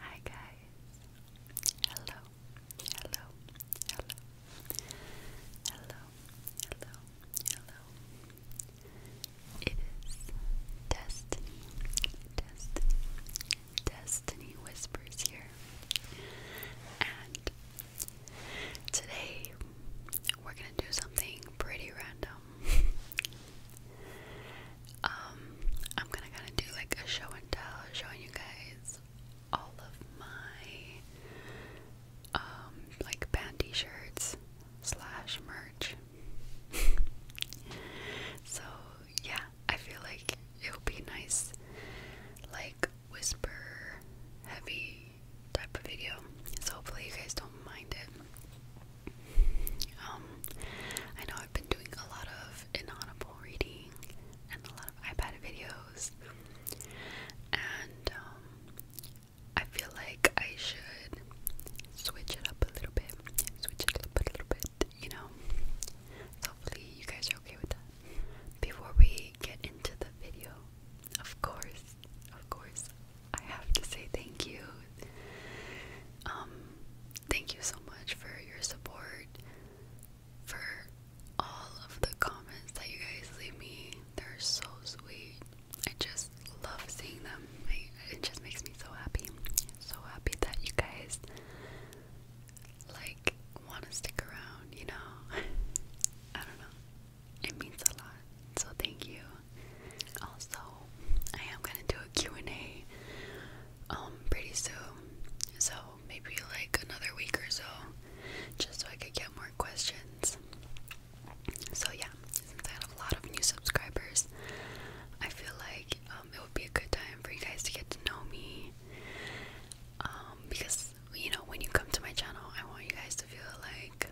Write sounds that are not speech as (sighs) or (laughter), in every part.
Hi guys. Hello. Hello. Hello. Hello. Hello. Hello. It is Destiny. Destiny. Destiny whispers here. And today we're going to do something pretty random. (laughs) Um, I'm gonna kind of do like a show and tell, showing you guys all of my um, like band t-shirts slash merch. (laughs) so yeah, I feel like it'll be nice, like whisper heavy type of video. So hopefully you guys don't mind it. Um, I know I've been doing a lot of inaudible reading and a lot of iPad videos, and um, I feel like I should switch it up a little bit, switch it up a little bit, you know. hopefully, you guys are okay with that. Before we get into the video, of course, of course, I have to say thank you um, thank you so much for your support, for all of the comments that you guys leave me. They're so sweet. I just love seeing them. it just makes me so happy. So happy that you guys like want to stick around, you know? (laughs) I don't know. It means a lot. So thank you. Also, I am going to do a and a um pretty soon. So maybe like another week or so just so I could get more questions. So yeah, since I had a lot of new subscribers, I feel like um, it would be a good time for you guys to get to know me. Um, because you know, when you come to my channel, I want you guys to feel like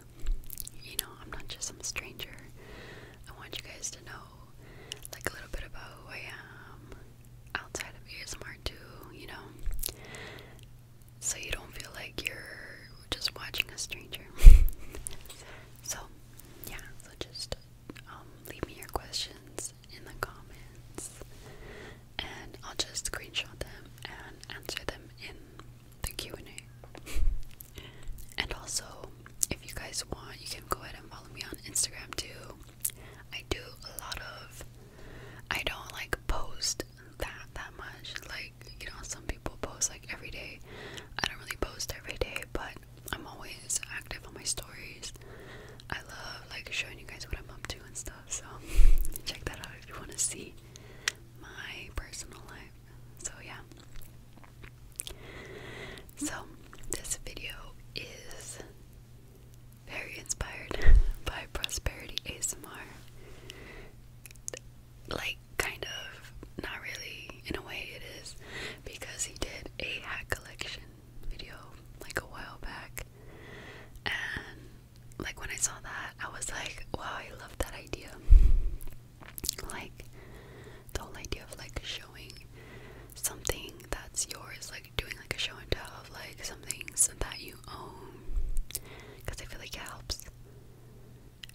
you know, I'm not just some stranger. I want you guys to know like a little bit about who I am outside of ASMR too, you know. So you don't feel like you're just watching a stranger. (laughs) so yeah, so just um, leave me your questions in the comments and I'll just screenshot them and answer them in the Q&A. (laughs) and also, if you guys want, you can go ahead and follow me on Instagram too. I do a lot of I don't like post that that much. Like, you know, some people post like every day. I don't really post every day, but I'm always active on my stories. I love like showing you guys what I'm up to and stuff. So (laughs) check that out if you want to see my personal life. So yeah. So, this video is very inspired (laughs) by Prosperity ASMR. Like, kind of, not really, in a way it is, because he did a hat collection video like a while back. And, like, when I saw that, I was like, wow, I love that idea. Like, the idea of like showing something that's yours, like doing like a show and tell of like some things that you own, because I feel like it helps.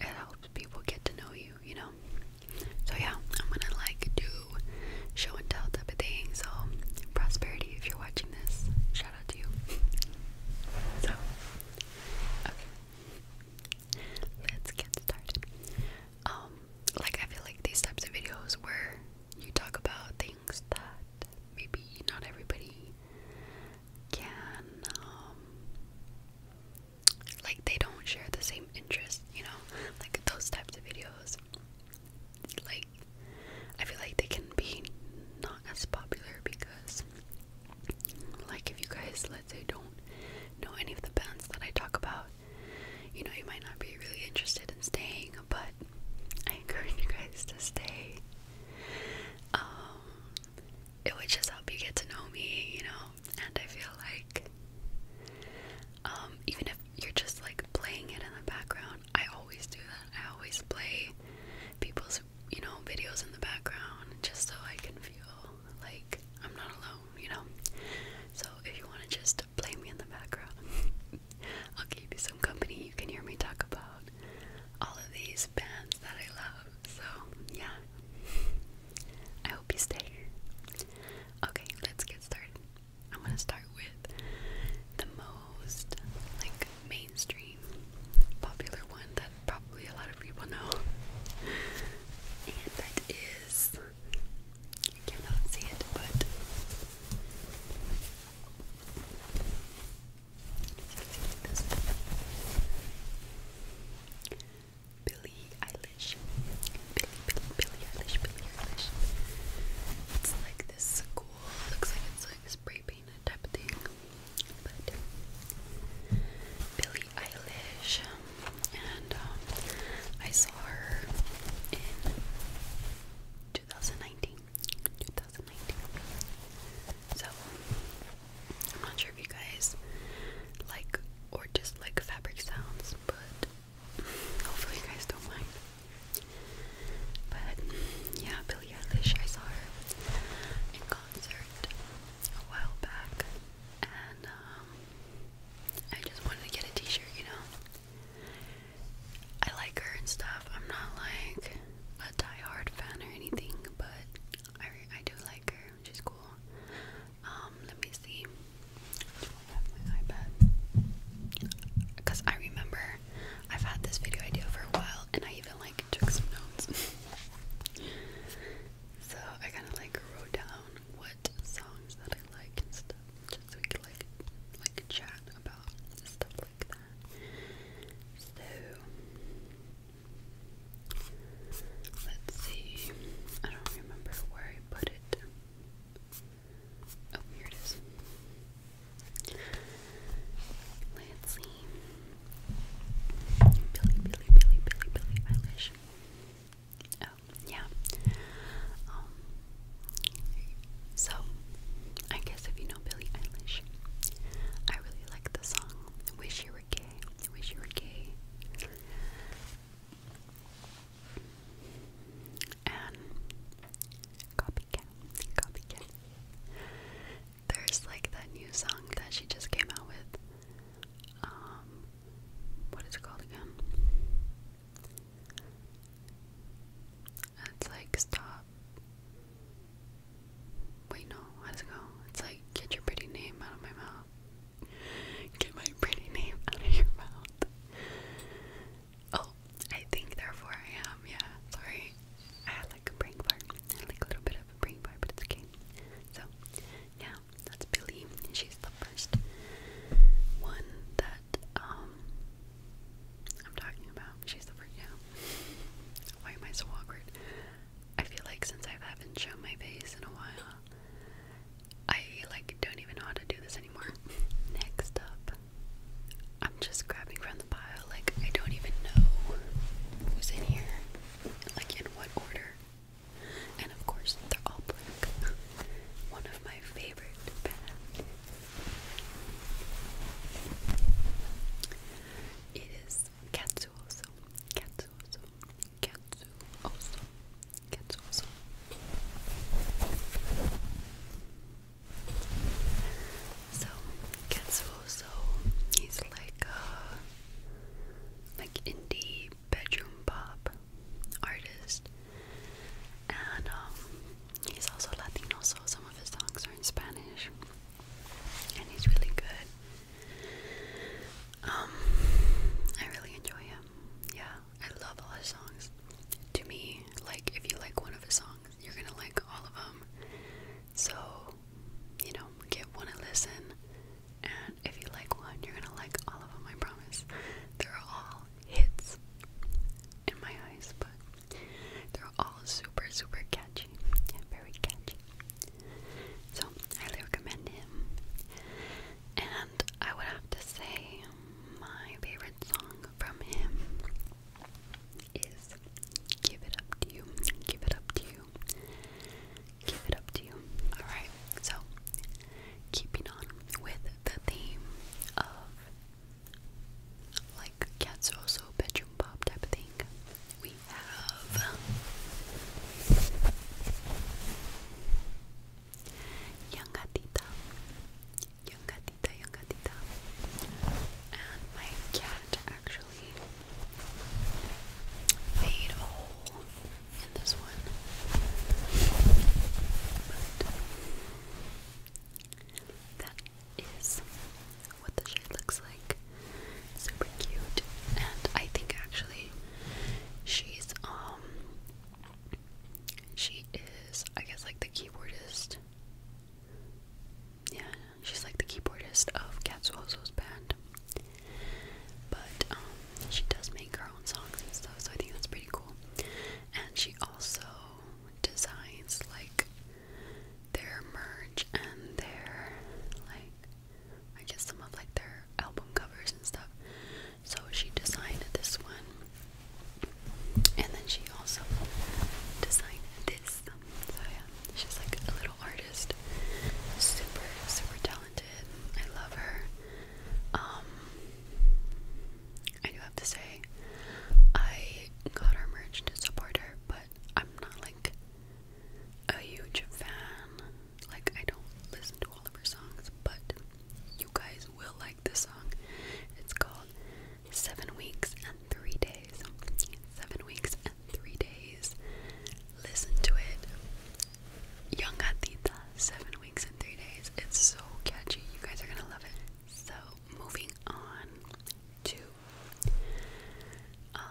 It helps people get to know you, you know. So yeah, I'm gonna like do show and tell type of thing. So prosperity, if you're watching this, shout out to you. So let's get started. Um, like I feel like these types of videos where you talk about things that maybe not everybody can um like they don't share the same interest, you know, like those types of videos. Like I feel like they can be not as popular because like if you guys let's say don't know any of the bands that I talk about you know, you might not be really interested in staying, but I encourage you guys to stay. Um, it would just help you get to know me, you know, and I feel like, um, even if you're just like playing it in the background, I always do that. I always play people's, you know, videos in the background just so I can feel like I'm not alone you know? So if you want to just play me in the background, (laughs) I'll keep you some company. You can hear me talk about all of these bands that I love. So, yeah. (laughs) I hope you stay. Okay, let's get started. I'm to start with the most like mainstream popular one that probably a lot of people know. (laughs) And that is you cannot see it, but this Billie Eilish. Billie, Billie, Billie Eilish, Billie Eilish. It's like this cool, looks like it's like spray painted type of thing. But Billie Eilish. Um, and um, I saw her in 2019. 2019. So I'm not sure if you guys like or just fabric sounds, but hopefully you guys don't mind. But yeah, Billie Eilish, I saw her in concert a while back, and um, I just wanted to get a T-shirt, you know. I like her and stuff. I'm not like a diehard fan or anything, but I I do like her. She's cool. Um, let me see. Cause I remember I've had this video idea for a while, and I even like took some notes. (laughs) so I kind of like wrote down what songs that I like and stuff just so we could like like chat about stuff like that. So let's see. I don't remember where I put it. Oh, here it is. Let's Billy, Billy, Billy, Billy, Billy Eilish. Oh, yeah. Um, so, I guess if you know Billie Eilish, I really like the song Wish You Were Gay. Wish You Were Gay. And Copycat. Copycat. There's like that new song that she just came out with. Um, what is it called again? It's like stop. Wait, no. How does go? It's like get your pretty name out of my mouth. Get my pretty name out of your mouth. Oh, I think therefore I am. Yeah, sorry. I had like a brain fart. like a little bit of a brain fart, but it's okay. So, yeah, that's Billy. She's the first one that um I'm talking about. She's the freak Why am I so awkward? I feel like since I haven't shown my face in a while, I like don't even know how to do this anymore. (laughs) Next up, I'm just grabbing from the pile. Like I don't even know who's in here, like in what order. And of course, they're all black. (laughs) One of my favorite it is Katsuoso. Katsuoso. Katsuoso. Katsuoso. So Katsuoso, he's like a like indie bedroom pop artist, and um, he's also Latino, so some of his songs are in Spanish, and he's really good. Um, I really enjoy him. Yeah, I love all his songs. To me, like if you like one of his songs, you're gonna like all of them. So, you know, get one a listen, and if you like one, you're gonna like all of them. I promise. They're all hits in my eyes, but they're all super, super catchy. Very catchy. So, highly recommend him. And I would have to say my favorite song from him is Give It Up To You. Give It Up To You. Give It Up To You. Alright, so keeping on with the theme of like cats also bedroom pop type of thing. We have young gatita, young and my cat actually made a hole in this one. That is what the shade looks like. Super cute. And I think actually she's um she is I guess like the keyboardist. Yeah, she's like the keyboardist of Katsuoso's band. But um she does make her own songs and stuff, so I think that's pretty cool and she also designs like their merch and their like I guess some of like their album covers and stuff. So she designed this one, and then she also designed this. So yeah, she's like a little artist, super super talented. I love her. Um, I do have to say, I got her merch to support her, but I'm not like a huge fan. Like, I don't listen to all of her songs, but you guys will like this song. It's called Seven Weeks and Three Days. Seven Weeks and Three Days. Listen to it. Young Gatita, Seven Weeks and Three Days. It's so catchy. You guys are gonna love it. So moving on to um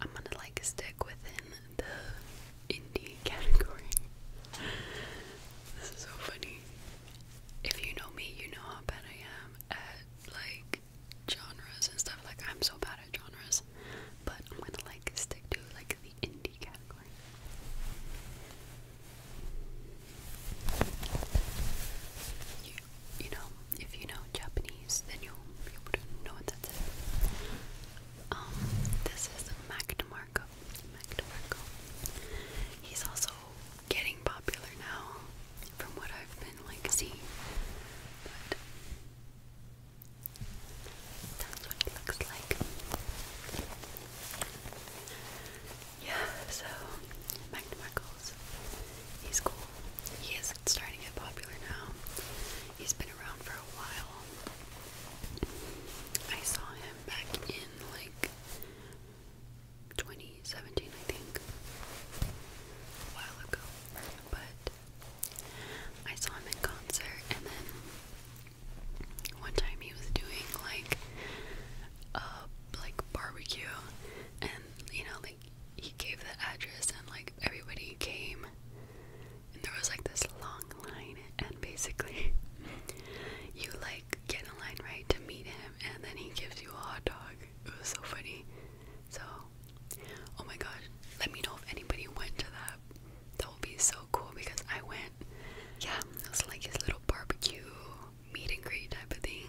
I'm gonna like stick within the indie category. this is so funny. If you know me, you know how bad I am at like genres and stuff. Like I'm so bad at genres. But I'm gonna like stick to like the indie category. You, know, if you know Japanese, then you'll be know what that is. Um, this is Mac DeMarco. Mac DeMarco. He's also getting popular now, from what I've been like seeing. that's what it looks like. Yeah, so Magnum Michaels, he's cool. He is starting to get popular now. He's been around for a while. I saw him back in like 2017, I think, a while ago. But I saw him in concert, and then one time he was doing like a like barbecue and you know like he gave the address and like everybody came and there was like this long line and basically (laughs) you like get in line right to meet him and then he gives you a hot dog. It was so funny. So oh my gosh, let me know if anybody went to that. That would be so cool because I went yeah, it was like his little barbecue meet and greet type of thing.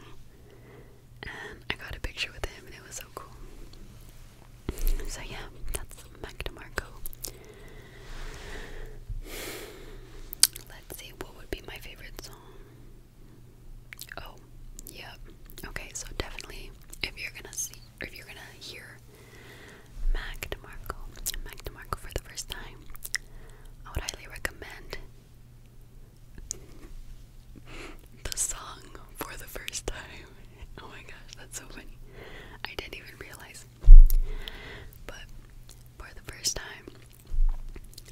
And I got a picture with him and it was so cool. So yeah, that's Mac DeMarco. Let's see, what would be my favorite song? Oh, Yeah. Okay, so definitely if you're gonna see or if you're gonna hear Mac DeMarco, Mac DeMarco for the first time, I would highly recommend the song for the first time. (laughs) Oh my gosh, that's so funny. I didn't even realize. But for the first time,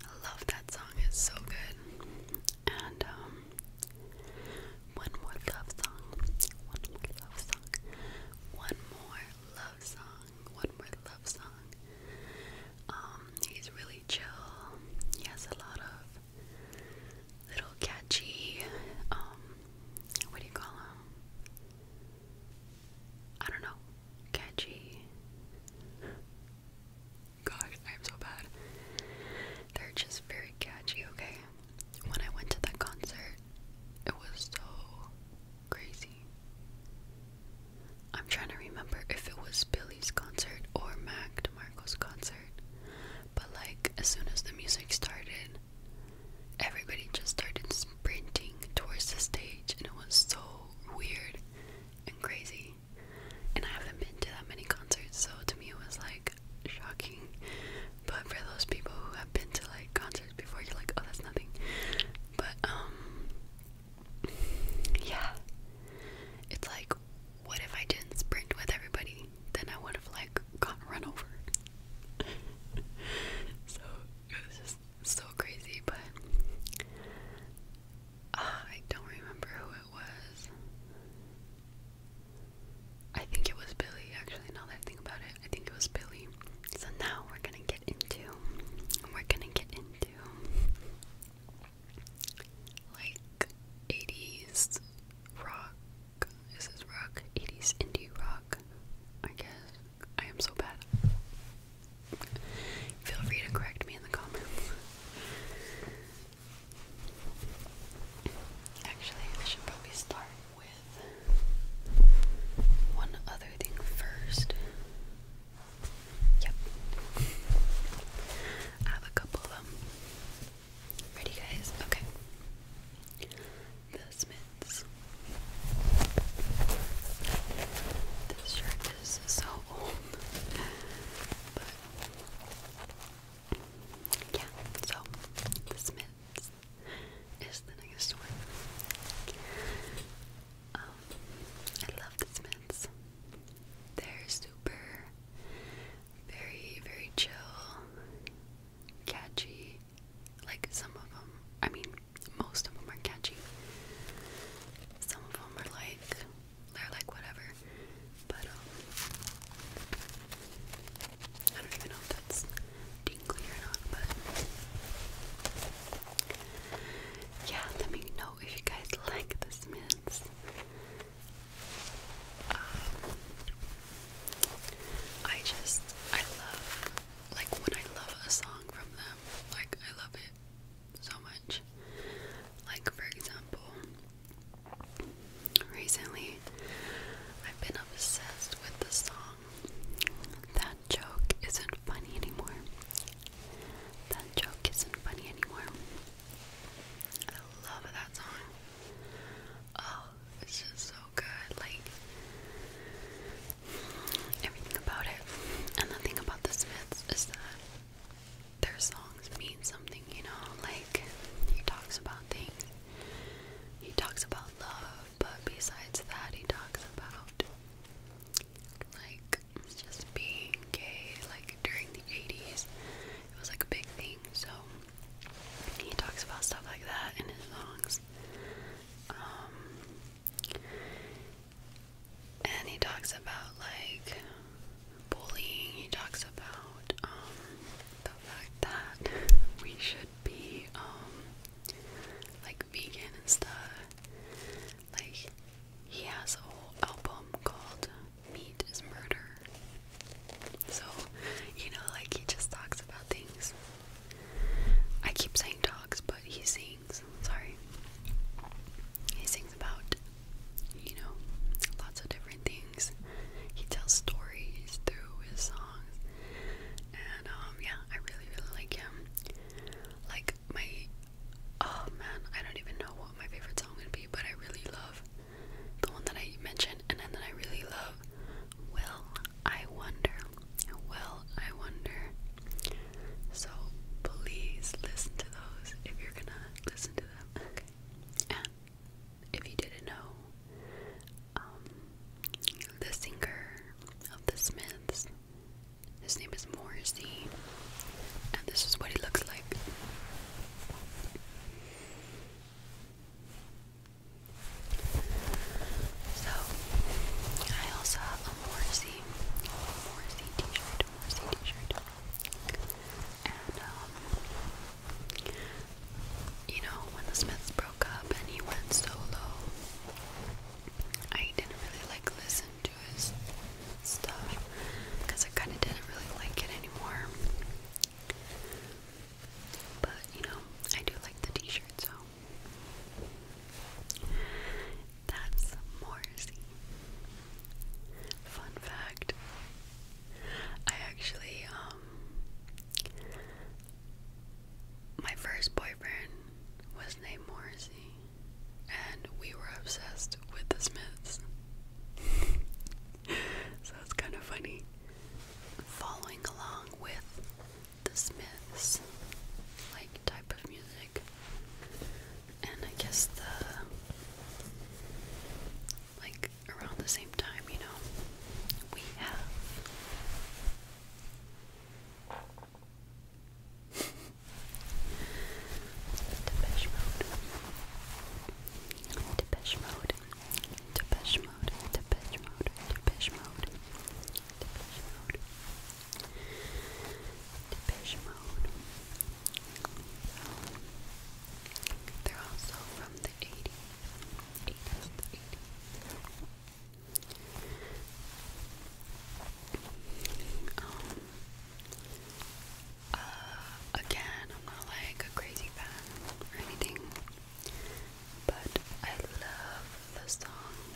I love that song. It's so good. And um, one more love song. One more love song. One more love song one more love song. Um, he's really chill. He has a lot of little catchy, um, what do you call them? I don't know. Catchy. God, I'm so bad. They're just very catchy, okay? When I went to that concert, it was so crazy. I'm trying to remember if it was Billy's concert or Mac DeMarco's concert, but like as soon as the music started, everybody just started sprinting towards the stage, and it was so weird and crazy. And I haven't been to that many concerts, so to me it was like shocking. But for those people who have been to like concerts before, you're like, oh, that's nothing. But um, yeah. It's like, what if I didn't sprint with everybody? Then I would have like gotten run over. (laughs) so it was just so crazy, but uh, I don't remember who it was. I think it was Billy, actually, now that I think about it. I think it was Billy so now we're gonna get into we're gonna get into like 80s rock this is rock 80s indie rock I guess I am so bad feel free to correct me in the comments Actually, I should probably start with one other thing first. Yep. I have a couple of them. Ready, guys? Okay. The Smiths. This shirt is so old. But. Yeah, so the Smiths is the next one. Um, I love these mints. They're super, very, very chill, catchy. Like some of them, I mean, most of them are catchy. Some of them are like, they're like whatever. But, um, I don't even know if that's tingly or not, but yeah, let me know if you guys like this mints. Um, I just, I love, like when I love a song from them, like I love it so much. Like for example, recently I've been obsessed with the song that that joke isn't funny anymore. That joke isn't funny anymore. I love that song. Oh, it's just so good. Like, everything about it. And the thing about the Smiths is that their songs mean something, you know? Like, he talks about things, he talks about love, but besides that, he talks about like just being gay, like during the 80s, it was like a big thing. So he talks about stuff like that in his songs. Um, and he talks about like bullying, he talks about um, the fact that we should be um, like vegan and stuff. Like, he has a whole album called Meat is Murder. So, you know, like, he just talks about things. I keep saying talks, but he sings. Sorry. He sings about, you know, lots of different things. He tells stories through his songs. And, um, yeah, I really, really like him. Like my oh man, I don't even know what my favorite song would be, but I really love the one that I mentioned and then that I really love Well I Wonder. Well I Wonder. So please listen to those if you're gonna listen to them. And if you didn't know, um, the singer of the Smiths his name is Morrissey, and this is what he looks like. So, I also have a Morrissey, Morrissey t-shirt, Morrissey t-shirt. And, um, you know, when the Smiths broke up and he went solo, I didn't really like listen to his stuff because I kind of didn't really like it anymore. But you know, I do like the t shirt, so that's Morrissey. Fun fact I actually, um, my first boyfriend was named Morrissey and we were obsessed with the Smiths. (laughs) so it's kind of funny. Following along with the Smiths, like type of music, and I guess the like around the same time, you know, we have Depeche Mode. Depeche Mode. Depeche Mode. Depeche Mode. Depeche Mode. Depeche Mode. Depeche Mode. they're also from the 80s. 80s. Um, uh, again, I'm not like a crazy fan or anything, but I love the song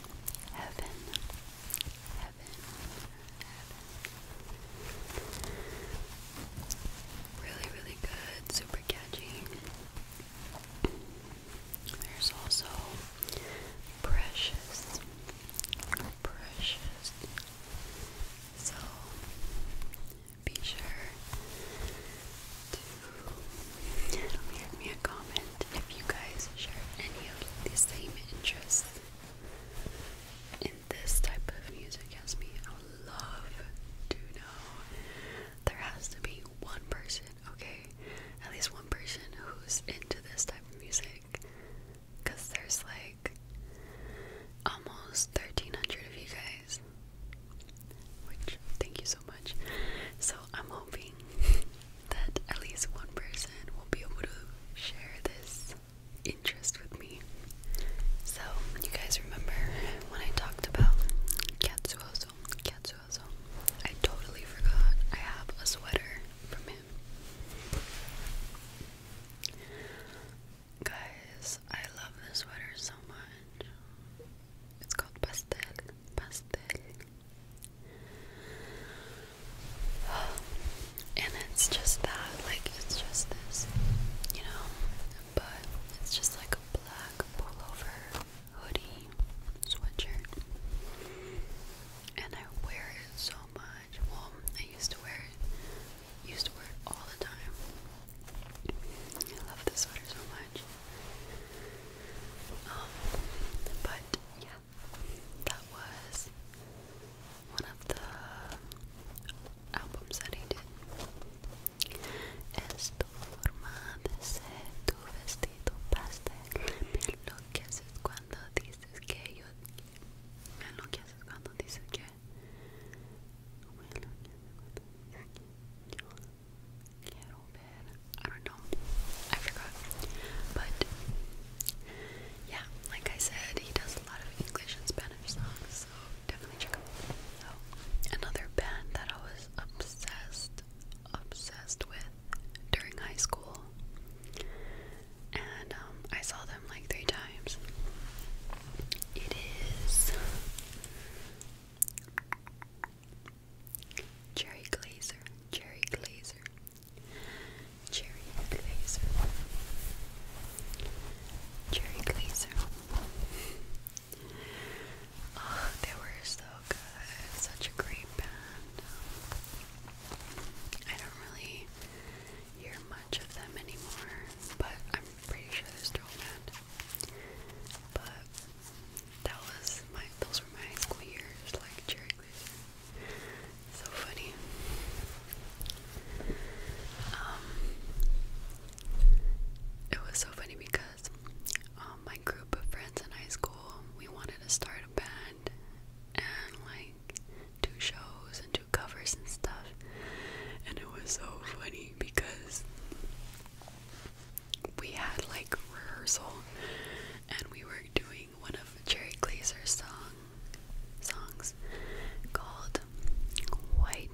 Heaven, Heaven, Heaven. Really, really good, super catchy. There's also Precious brushes. So be sure to leave me a comment if you guys share any of the same interests in this type of music as me. I would love to know. There has to be one person, okay? At least one person who's into this type of music because there's like almost 1,300 of you guys. Which, thank you so much. So, I'm hoping (laughs) that at least one person will be able to share this interest with me. So, you guys remember when I talked about Katsuozo? Katsuozo. I totally forgot. I have a sweater from him. Guys, I love this sweater so much. It's called Pastel. Pastel. And it's just that, like, it's just this, you know? But it's just like a black pullover hoodie sweatshirt and I wear it so much. Well, I used to wear it, used to wear it all the time. I love this sweater so much. Um, but yeah, that was one of the albums that I did. Es tu forma tu vestido pastel, lo que haces cuando I don't know I forgot but yeah like I said he does a lot of English and Spanish songs so definitely check him out so another band that I was obsessed obsessed with during high school and um, I saw them like three times. It is Cherry Glazer, Cherry Glazer, Cherry Glazer, Cherry Glazer. Oh, they were so good. Such a great band. Um, I don't really hear much of them anymore, but I'm pretty sure there's still around. But that was my those were my high school years, like Jerry Cruiser. So funny. Um it was so funny because um, my group of friends in high school, we wanted to start a band and like do shows and do covers and stuff. And it was so funny because we had like rehearsal and we were doing one of Jerry Glazer's song songs called White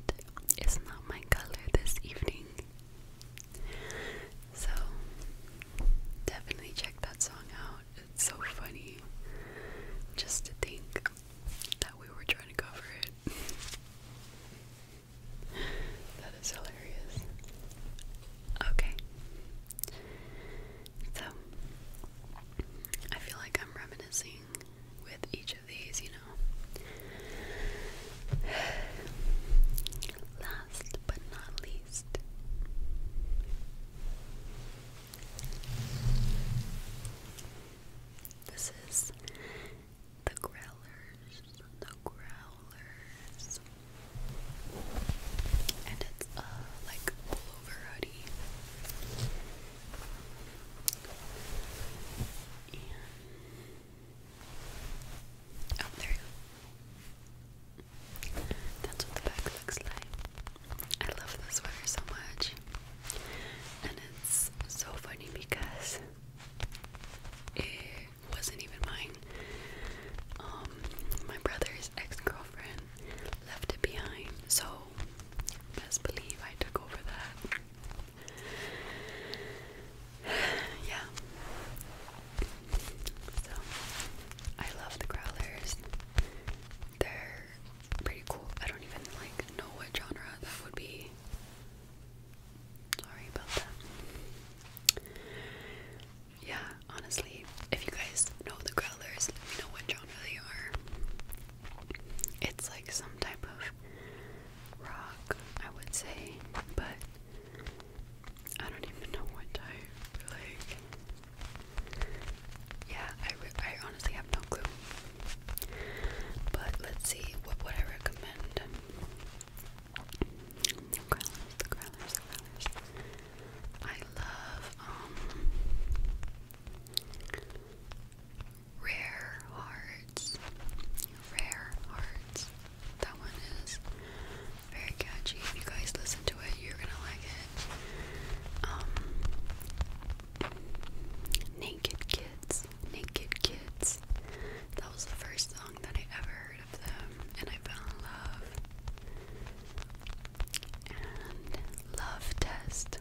is Not My Color This Evening. So definitely check that song out. It's so funny just to think that we were trying to cover it. (laughs) that is hilarious. Okay. So, I feel like I'm reminiscing with each of these, you know. (sighs) Last but not least taste. This is the growlers, the growlers, and it's a uh, like hoodie. oh, there you go. That's what the back looks like. I love this sweater so much. And it's so funny because it wasn't even mine. Um, my brother's ex-girlfriend left it behind, so best believe I took over that. (sighs) yeah. So I love the growlers. They're pretty cool. I don't even like know what genre that would be. Sorry about that. Yeah, honestly, if you guys know the growlers, let me know what genre they are. It's like some type of rock, I would say, but I don't even know what type. Like yeah, I, I honestly have no clue. But let's see, what I recommend? The curlers, the curlers, the I love, um, Rare Hearts. Rare Hearts. That one is very catchy. If you guys listen to it, you're gonna like it. Um, Naked Kids. Naked Kids. That was the first song that I ever heard of them, and I fell in love. And Love Test.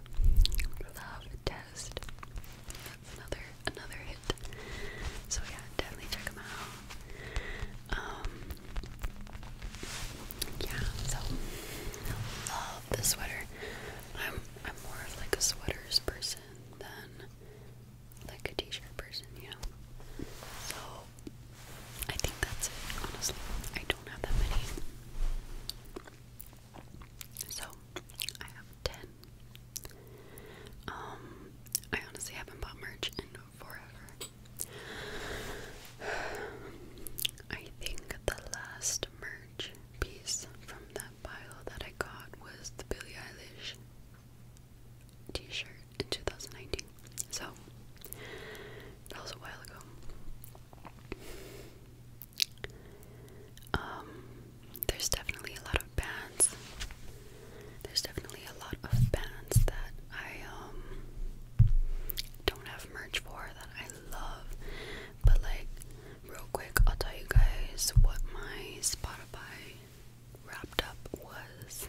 Love Test. another another hit. So yeah, definitely check them out. Um, yeah, so I love the sweater. I'm I'm more of like a sweaters person than like a t-shirt person, you know. So I think that's it, honestly. I don't have that many. So I have ten. Um I honestly haven't bought merch in forever. (sighs) I think the last merch piece from that pile that I got was the Billie Eilish t shirt in 2019. So, that was a while ago. Um, there's definitely a lot of bands. There's definitely a lot of bands that I um don't have merch for that I love. But like real quick I'll tell you guys what my Spotify wrapped up was.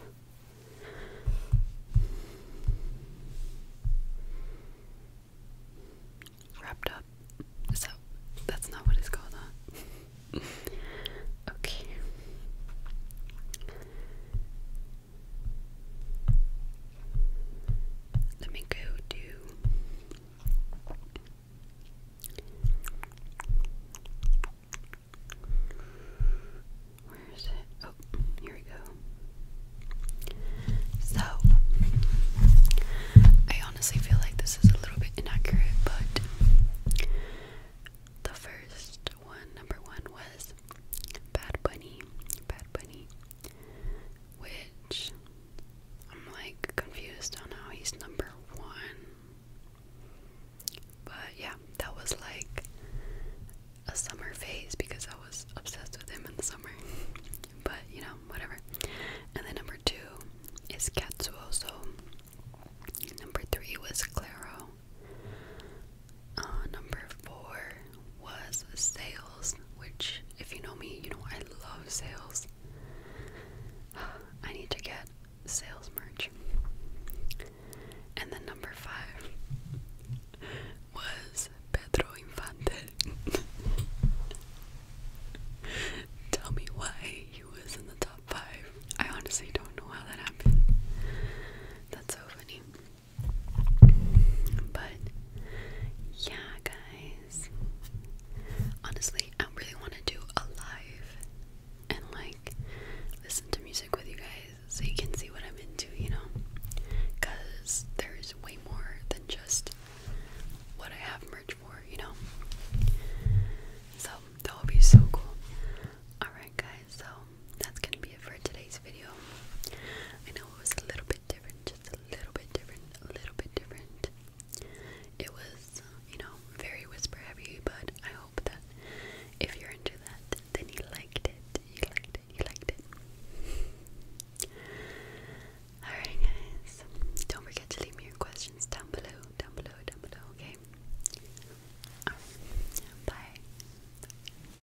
Wrapped up. So that's not what it's called, (laughs) okay. Let me go do. Where is it? Oh, here we go. So, I honestly feel like this is a little bit inaccurate, but the first one, number one, was Bad Bunny, Bad Bunny, which I'm like confused on how he's number one. But yeah, that was like a summer phase because I was obsessed with him in the summer. (laughs) but you know, whatever. And then number two is Katsuo. So Number three was Claro. Uh, number four was sales, which, if you know me, you know I love sales. (sighs) I need to get sales merch. And the number five (laughs) was Pedro Infante. (laughs) Tell me why he was in the top five. I honestly don't know how that happened. That's so funny. But yeah, guys. Honestly, I really want to do a live and like listen to music with you guys so you can see what I'm into, you know? Because there's way more than just what I have merch for, you know? So that would be so cool. Alright, guys, so that's gonna be it for today's video. I know it was a little bit different, just a little bit different, a little bit different. It was, you know, very whisper heavy, but I hope that if you're into that, then you liked it. You liked it. You liked it. Alright, guys. Don't forget to leave me your questions down below, down below, down below, okay? Bye.